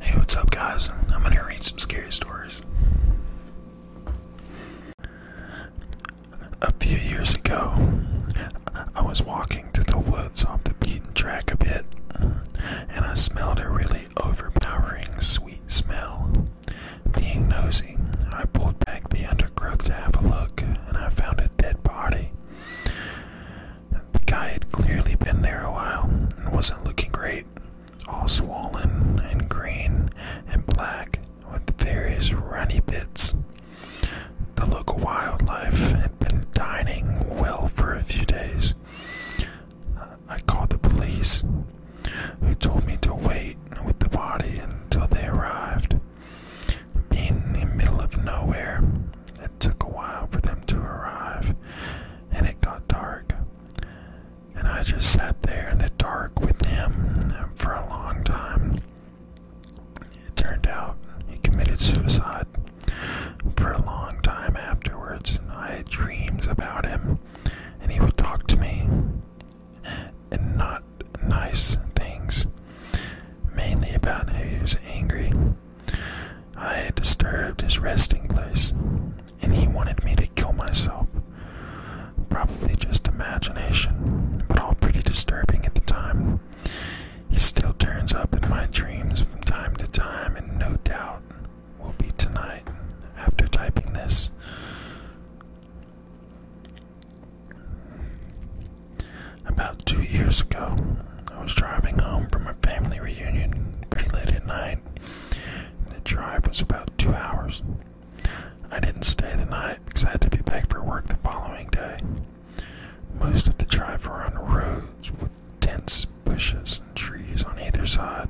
Hey, what's up, guys? I'm gonna read some scary stories. A few years ago, I was walking through the woods off the beaten track a bit, and I smelled a really overpowering sweet smell. Being nosy, I pulled back the undergrowth to have a look, and I found a dead body. The guy had clearly been there a while and wasn't looking great, all swollen and green and black with various runny bits. The local wildlife had been dining well for a few days. I called the police, who told me to wait with the body until they arrived in the middle of nowhere. It took a while for them to arrive, and it got dark. And I just sat there in the dark with him for a long time. It turned out he committed suicide. For a long time afterwards, I had dreams about him, and he would talk to me and not nice things, mainly about who's angry. I disturbed his resting place, and he wanted me to kill myself. Probably just imagination, but all pretty disturbing at the time. He still turns up in my dreams from time to time, and no doubt will be tonight after typing this. About two years ago, I was driving home from a family reunion pretty late at night. The drive was about two hours. I didn't stay the night because I had to be back for work the following day. Most of the drive were on roads with dense bushes and trees on either side.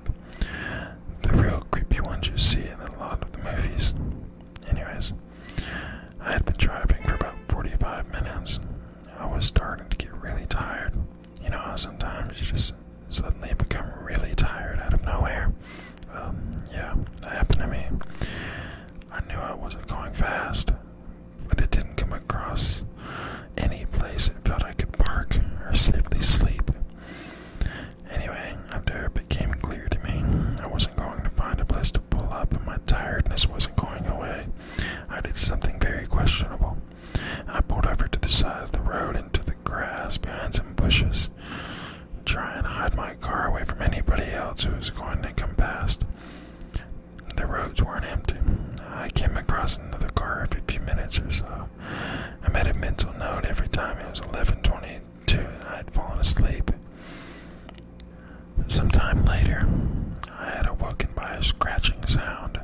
The real creepy ones you see in a lot of the movies. Anyways, I had been driving for about 45 minutes. I was starting to get really tired. You know how sometimes you just suddenly become really tired out of nowhere? yeah, that happened to me. I knew I wasn't going fast, but it didn't come across any place I felt I could park or safely sleep. Anyway, after it became clear to me I wasn't going to find a place to pull up and my tiredness wasn't going away, I did something very questionable. I pulled over to the side of the road into the grass behind some bushes, trying to hide my car away from anybody else who was going to come past. The roads weren't empty. I came across another car every few minutes or so. I made a mental note every time it was 11:22 I had fallen asleep. Sometime later, I had awoken by a scratching sound.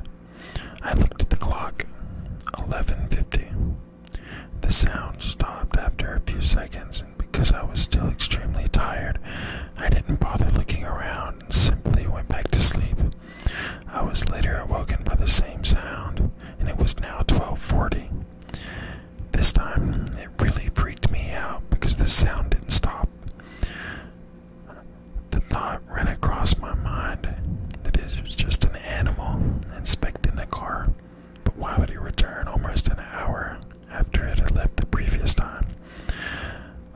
I looked at the clock. 11:50. The sound stopped after a few seconds, and because I was still extremely tired, I didn't bother looking around and simply went back to sleep. I was later awoken by the same sound, and it was now 1240. This time, it really freaked me out because the sound didn't stop. The thought ran across my mind that it was just an animal inspecting the car, but why would he return almost an hour after it had left the previous time.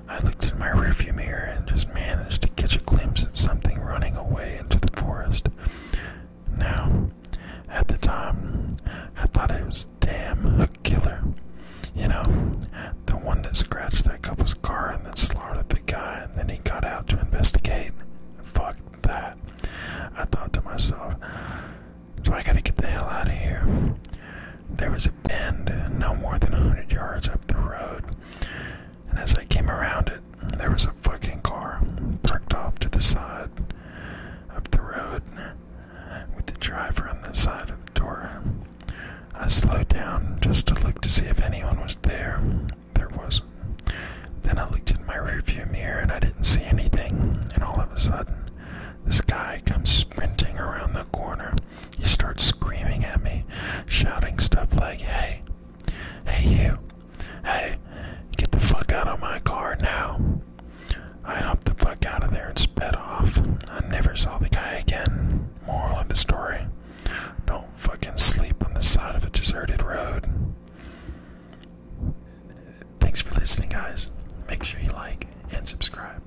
I looked in my rearview mirror and just managed to catch a glimpse of something running away into the forest. Now, at the time, I thought it was damn hook killer. You know, the one that scratched that couple's car and then slaughtered the guy, and then he got out to investigate. Fuck that. I thought to myself, so I gotta get the hell out of here. There was a bend no more than a hundred yards up the road, and as I came around it, there was a fucking car parked off to the side of the road with the driver on the side of the door. I slowed down just to look to see if anyone was there. There wasn't. Then I looked in my rearview mirror and I didn't see anything, and all of a sudden, this guy comes sprinting around the corner. He starts screaming at me, shouting stuff like, Hey, hey, you, hey, get the fuck out of my car now. I hopped the fuck out of there and sped off. I never saw the guy again. Moral of the story don't fucking sleep on the side of a deserted road. Thanks for listening, guys. Make sure you like and subscribe.